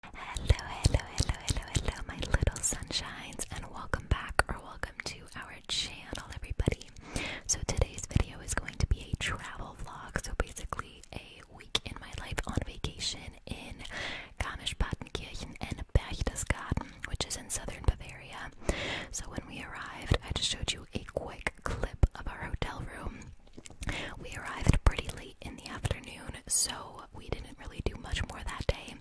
Hello, hello, hello, hello, hello, my little sunshines, and welcome back or welcome to our channel, everybody. So, today's video is going to be a travel vlog, so basically, a week in my life on vacation in Garmisch-Partenkirchen and Berchtesgaden, which is in southern Bavaria. So, when we arrived, I just showed you a quick clip of our hotel room. We arrived pretty late in the afternoon, so we didn't really do much more that day,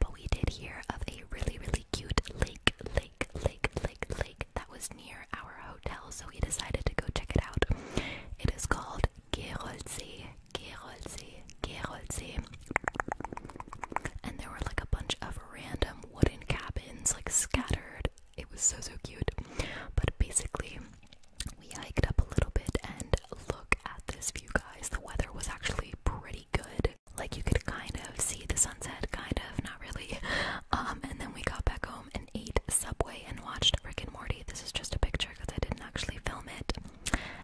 but we did hear of a really, really cute lake, lake, lake, lake, lake that was near our hotel, so we decided to go check it out. It is called Geroldsee, Geroldsee, Geroldsee. And there were like a bunch of random wooden cabins, like scattered it was so so cute. But basically, we hiked up a little bit and look at this view, guys. The weather was actually pretty good. Like you could kind of see the sunset, kind of, not really. Um, and then we got back home and ate Subway and watched Rick and Morty. This is just a picture because I didn't actually film it.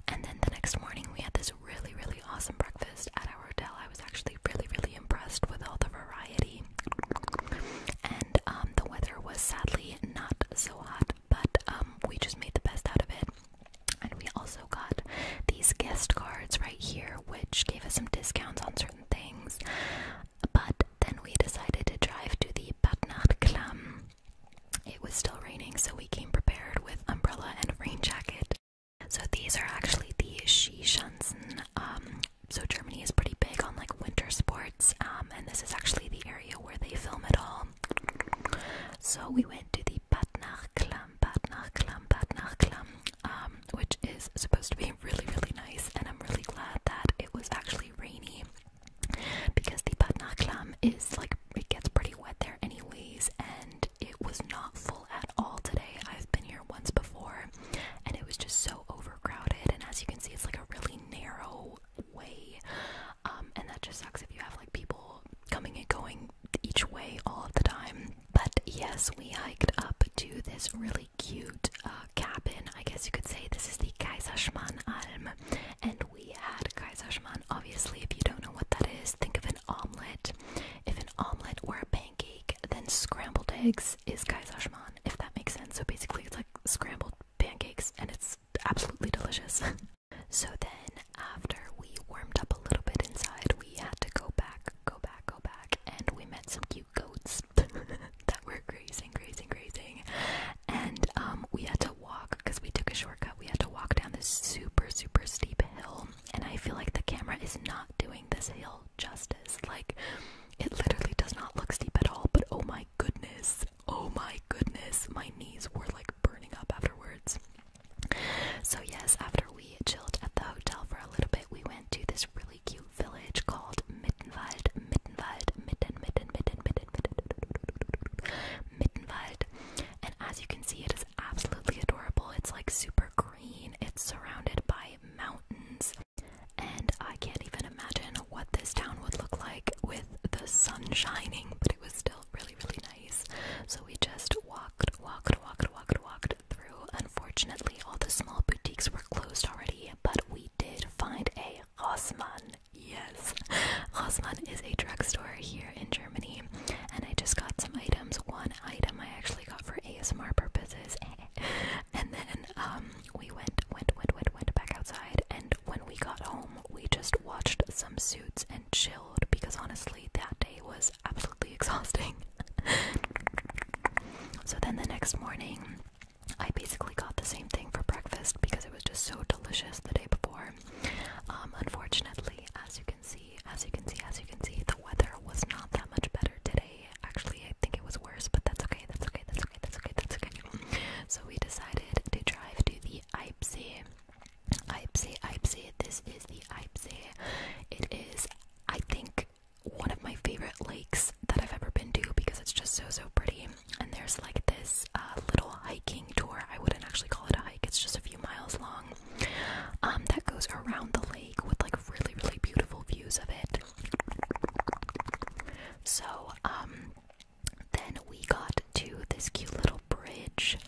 And then the next morning, we had this really, really awesome breakfast at our hotel. I was actually really, really impressed with all the variety and um, the weather was sadly not so hot, but um, we just made the best out of it. And we also got these guest cards right here, which gave us some discounts on certain things. But then we decided to drive to the Badnat Klam. It was still raining, so we came prepared with umbrella and rain jacket. So these are actually the Shishansen um, so Germany is pretty big on like winter sports, um, and this is actually the area where they film it all. So we went to the Badnach Klamm, Badnach Klamm, Badnach Klamm, um, which is supposed to be really, really nice, and I'm really glad that it was actually rainy because the Badnach Klamm is like it gets pretty wet there anyways, and it was not full at all today. I've been here once before and it was just so overcrowded and as you can see it's like a really narrow way um, and that just sucks if you have like people coming and going each way all of the time but yes we hiked up to this really cute uh, cabin i guess you could say this is the kaiserschmann alm and we had kaiserschmann obviously if you don't know what that is think of an omelet if an omelet or a pancake then scrambled eggs is kaiserschmarrn if that makes sense. So basically, it's like scrambled pancakes, and it's absolutely delicious. so then, after we warmed up a little bit inside, we had to go back, go back, go back, and we met some cute goats that were grazing, grazing, grazing. And um, we had to walk because we took a shortcut. We had to walk down this super, super steep hill, and I feel like the camera is not doing this hill justice. Like it literally does not look steep at all, but oh my goodness, oh my goodness, my knees were like burning up afterwards. So, yes, after we chilled at the hotel for a little bit, we went to this really cute village called Mittenwald, Mittenwald, Mitten, Mitten, Mitten, Mitten, Mitten, Mittenwald. And as you can see, it is absolutely adorable. It's like super green, it's surrounded by mountains and I can't even imagine what this town would look like with the sun shining, but it was still really, really nice. So we just walked, walked, walked, walked, walked through. Unfortunately, all the small boutiques were closed already, but we did find a Rossmann. Yes, Rossmann is a drugstore here in Germany, and I just got some items. One item I actually got for ASMR purposes, and then um, we went, went, went, went, went back outside, and when we got home, we just watched some suits and chilled because honestly, that day was absolutely exhausting. so then the next morning, I basically got the same thing for breakfast because it was just so delicious the day before. Um, unfortunately, as you can see, as you can see, as you can see, the weather was not that much better today. Actually, I think it was worse, but that's okay. That's okay. That's okay that's okay, that's okay. So we decided to drive to the Eipsee. Eipsee, Eipsee. This is the Eipsee. It is, I think, one of my favorite lakes that I've ever been to because it's just so, so pretty. And there's like this uh, little hiking tour. I wouldn't actually call it a hike, it's just a few miles long. Um, that goes around the lake with like really, really beautiful views of it. So, um, then we got to this cute little bridge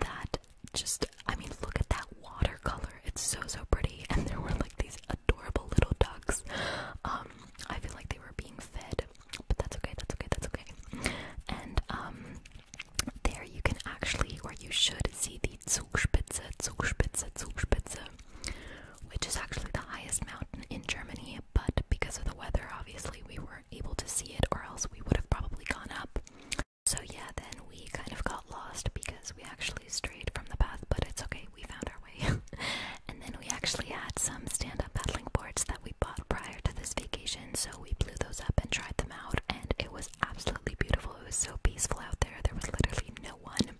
that just, I mean, look at that watercolor. It's so, so pretty. And there were like these adorable little ducks. Um, I feel like they were being fed, but that's okay, that's okay, that's okay. And, um, there you can actually, or you should see the Zugspitze, Zugspitze, Zugspitze which is actually the highest mountain in Germany, but because of the weather, obviously, we weren't able to see it, or else we would have probably gone up. So, yeah, then we kind of got lost because we actually strayed from the path, but it's okay, we found our way. and then we actually had some stand up paddling boards that we bought prior to this vacation, so we blew those up and tried them out, and it was absolutely beautiful. It was so peaceful out there, there was literally no one.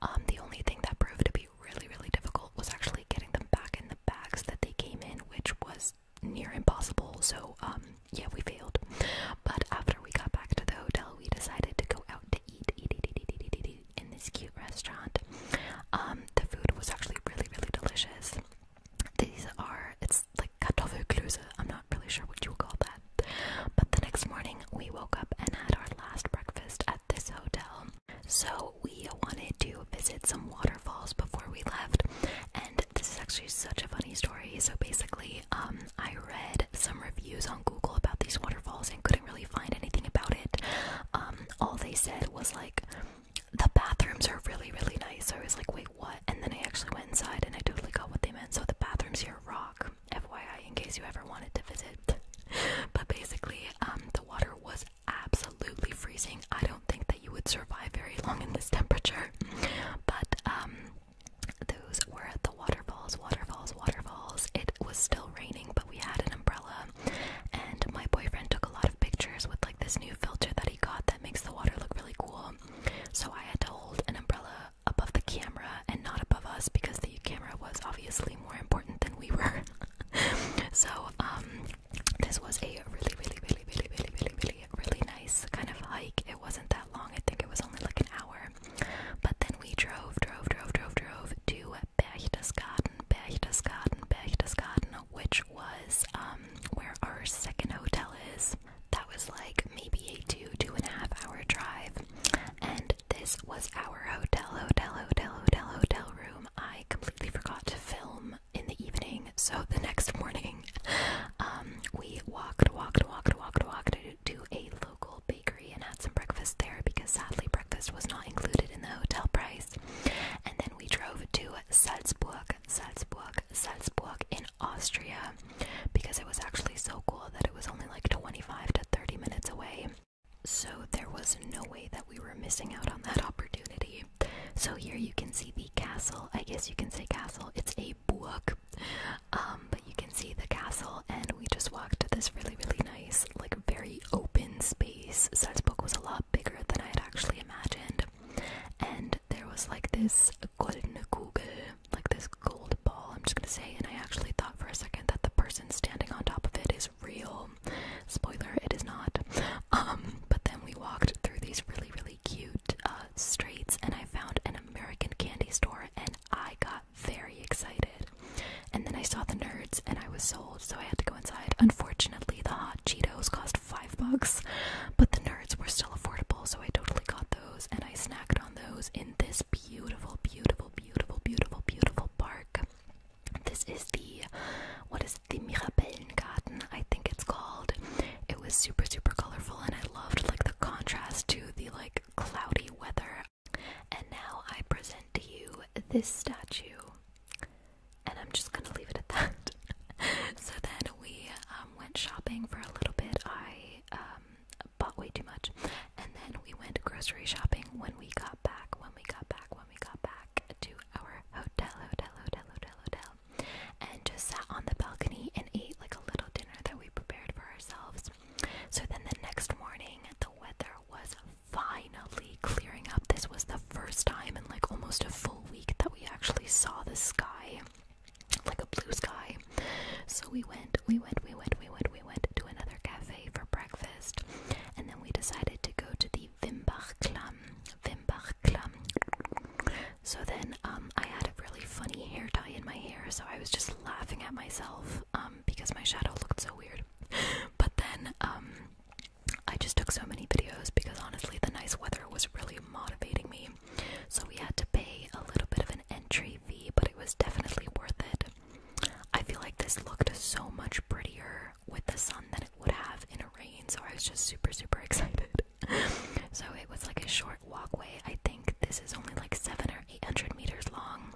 Um, the only thing that proved to be really, really difficult was actually getting them back in the bags that they came in, which was near impossible. So, um, yeah, we failed. But after we got back to the hotel, we decided to go out to eat, in this cute restaurant. Um, the food was actually really, really delicious. These are, it's like kartoffelklöße. I'm not really sure what you call that. But the next morning, we woke up and had our last breakfast at this hotel. So we wanted to visit some waterfalls before we left, and this is actually such a funny story. So basically, um, I read some reviews on Google about these waterfalls and couldn't really find anything about it. Um, all they said was like the bathrooms are really really nice. So I was like, wait, what? And then I actually went inside and I totally got what they meant. So the bathrooms here rock. FYI, in case you ever wanted to visit. but basically, um, the water was absolutely freezing. I don't think that you would survive very long in this temperature. But um, those were at the waterfalls, waterfalls, waterfalls. It was still raining, but we had an umbrella. And my boyfriend took a lot of pictures with like this new filter that he got that makes the water look really cool. So I had to hold an umbrella above the camera and not above us because the camera was obviously probably more important than we were. so, um, this was a really, really, really, really, really, really, really, really nice kind of hike. It wasn't that long, I think it was only like an hour. But then we drove, drove, drove, drove, drove to Berchtesgaden, Berchtesgaden, Berchtesgaden, which was um, where our second hotel is. That was like maybe a two, two and a half hour drive. And this was our hotel, hotel, hotel, hotel, hotel room. I completely forgot to film in the evening, so the next morning, um, we walked, walked, walked, walked, walked to a local bakery and had some breakfast there because sadly breakfast was not included in the hotel price. And then we drove to Salzburg, Salzburg, Salzburg in Austria because it was actually so cool that it was only like 25 to 30 minutes away so there was no way that we were missing out on that opportunity. So here you can see the castle. I guess you can say castle. It's a buak. Um, but you can see the castle and we just walked to this really really nice like very open space. So this book was a lot bigger than I had actually imagined. And there was like this goldene like this gold ball, I'm just going to say, and I actually thought for a second that the person standing on top of it is real. Spoiler, it is not. Um, but then we walked through these really, really cute uh, streets, and I found an American candy store, and I got very excited. And then I saw the nerds, and I was sold, so I had to go inside. Unfortunately, the hot Cheetos cost five bucks, but the nerds were still affordable, so I totally got those, and I snacked on those in this beautiful, beautiful, beautiful, beautiful, beautiful park. This is the what is it, the garden? I think it's called. It was super super colorful and I loved like the contrast to the like cloudy weather. And now I present to you this statue. And I'm just gonna leave it at that. so then we um, went shopping for a little bit. I um, bought way too much, and then we went grocery shopping when we got back, when we got back, when we got back to our hotel, hotel, hotel, hotel, hotel, and just sat on the balcony and ate like a little dinner that we prepared for ourselves. So then the next morning, the weather was finally clearing up. This was the first time in like almost a full week that we actually saw the sky, like a blue sky. So we went, we went, we went, we went, we went to another cafe for breakfast, and then we decided to go to the Wimbach Klamm. Wimbach Klamm. So then um, I had a really funny hair dye in my hair, so I was just laughing at myself um, because my shadow looked so weird. But then um, I just took so many videos because honestly, the nice weather was really motivating me. So we had to pay a little bit of an entry fee, but it was definitely worth it. I feel like this looked so much prettier with the sun than it would have in a rain, so I was just super, super excited. so it was like a short walkway. I think this is only like seven or eight hundred meters long,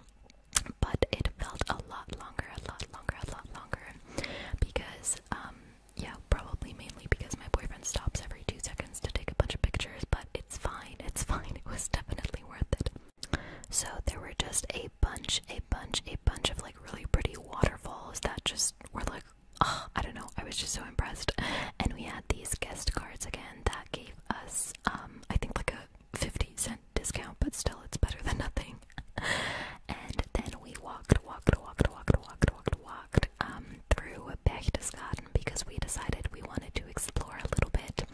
but it felt a lot longer, a lot longer, a lot longer because, um, yeah, probably mainly because my boyfriend stops every two seconds to take a bunch of pictures, but it's fine, it's fine, it was definitely worth it. So there were just a bunch, a bunch, a bunch of like really pretty waterfalls that just were like, I don't know, I was just so impressed. And we had these guest cards again that gave us, um, I think like a 50 cent discount, but still it's better than nothing. and then we walked, walked, walked, walked, walked, walked, walked um, through Bechtesgarten because we decided we wanted to explore a little bit.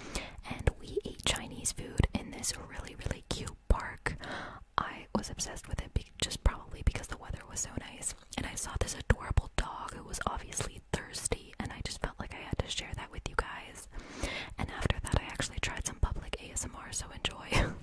And we ate Chinese food in this really, really cute park. I was obsessed with it just probably because the weather was so nice. And I saw this adorable dog who was obviously thirsty, and I just felt like I had to share that with you guys. And after that, I actually tried some public ASMR, so enjoy.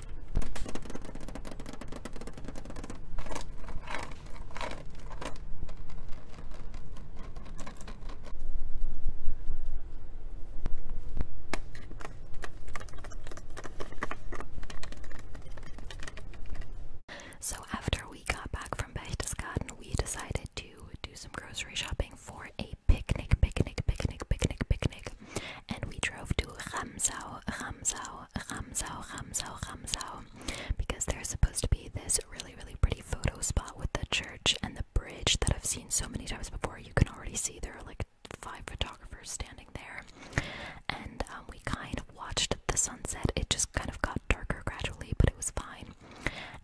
So after we got back from Berchtesgaden, we decided to do some grocery shopping for a picnic, picnic, picnic, picnic, picnic and we drove to Ramsau, Ramsau, Ramsau, Ramsau, Ramsau, because there's supposed to be this really, really pretty photo spot with the church and the bridge that I've seen so many times before. You can already see there are like five photographers standing there, and um, we kind of watched the sunset. It just kind of got darker gradually, but it was fine.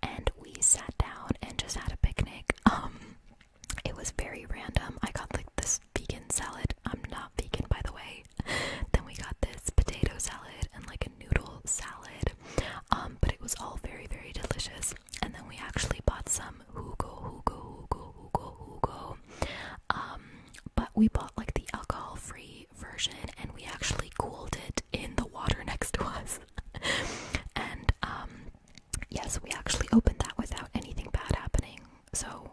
And we sat down and just had a picnic. Um, it was very random. I got like this vegan salad. I'm not vegan, by the way. Then we got this potato salad and like a noodle salad. Um, but it was all very, very delicious. And then we actually bought some Hugo, Hugo, Hugo, Hugo, Hugo. Um, but we bought like the alcohol free version and we actually cooled it in the water next to us. and um, yes, we actually opened that without anything bad happening. So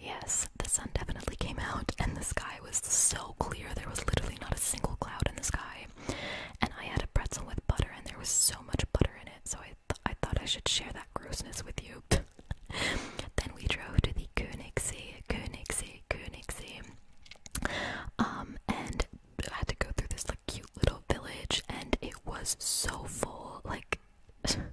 Yes, the sun definitely came out, and the sky was so clear. There was literally not a single cloud in the sky. And I had a pretzel with butter, and there was so much butter in it. So I, I thought I should share that grossness with you. then we drove to the Königssee, Königssee, Königssee, um, and I had to go through this like cute little village, and it was so full, like.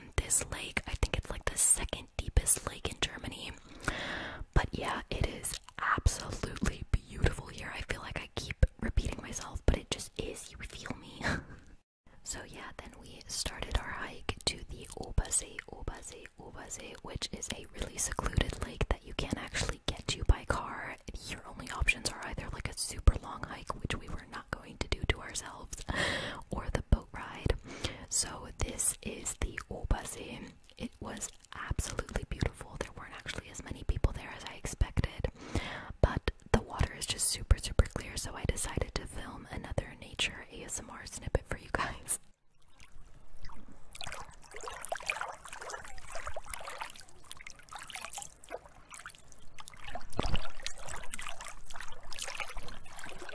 this lake. I think it's like the second deepest lake in Germany. But yeah, it is absolutely beautiful here. I feel like I keep repeating myself, but it just is. You feel me? so yeah, then we started our hike to the Obersee, Obersee, Obersee, which is a really secluded lake that you can't actually get to by car. Your only options are either like a super long hike, which we were not going going to do to ourselves or the boat ride. So, this is the Oba Obase. It was absolutely beautiful. There weren't actually as many people there as I expected, but the water is just super, super clear. So, I decided to film another nature ASMR snippet for you guys.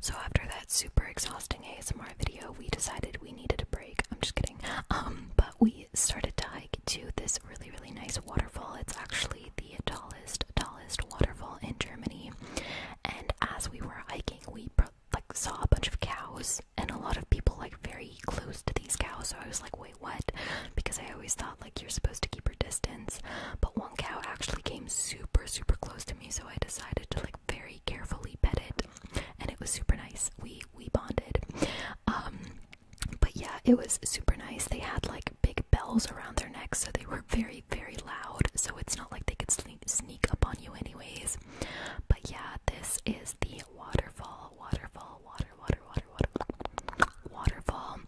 So after that super exhausting ASMR video, we decided we needed a break. I'm just kidding. Um, but we started to hike to this really, really nice waterfall. It's actually the tallest, tallest waterfall in Germany. And as we were hiking, we like saw a bunch of cows and a lot of people like very close to these cows. So I was like, wait, what? Because I always thought like you're supposed to keep your distance but one cow actually came super, super close to me, so I decided to like very carefully pet it, and it was super nice. We we bonded. Um, but yeah, it was super nice. They had like big bells around their necks, so they were very, very loud. So it's not like they could sneak up on you, anyways. But yeah, this is the waterfall, waterfall, water, water, water, water, waterfall.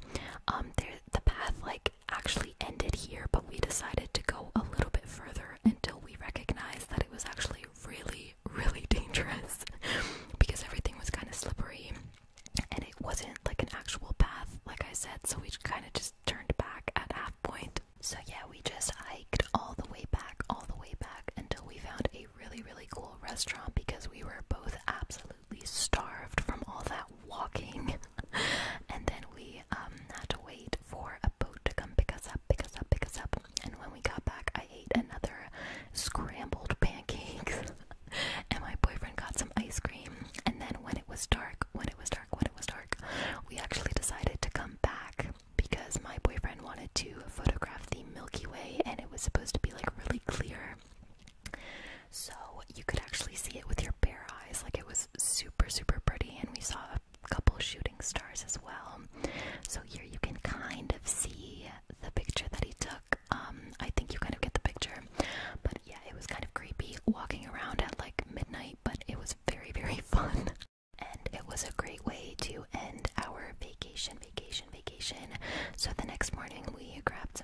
Um, the path like actually ended here, but we decided to go a little bit further until we recognized that it was actually really, really dangerous because everything was kind of slippery and it wasn't like an actual path, like I said, so we kind of just turned back at half point. So, yeah, we just hiked all the way back, all the way back until we found a really, really cool restaurant because we were both absolutely starved from all that walking. and then we um, had to wait for a boat to come pick us up, pick us up, pick us up. And when we got back, I ate another scrambled pancakes, and my boyfriend got some ice cream. And then when it was dark, when it was dark, when it was dark, we actually decided to come back because my boyfriend wanted to photograph the Milky Way, and it was supposed to be like really clear. So you could actually see it with your bare eyes. Like it was super, super pretty, and we saw a couple shooting stars as well. So here you can kind of see the picture that he took. Um, I think you kind of get the picture. But yeah, it was kind of creepy walking around at like midnight, but it was very, very fun. And it was a great way to end our vacation, vacation, vacation. So the next morning we grabbed some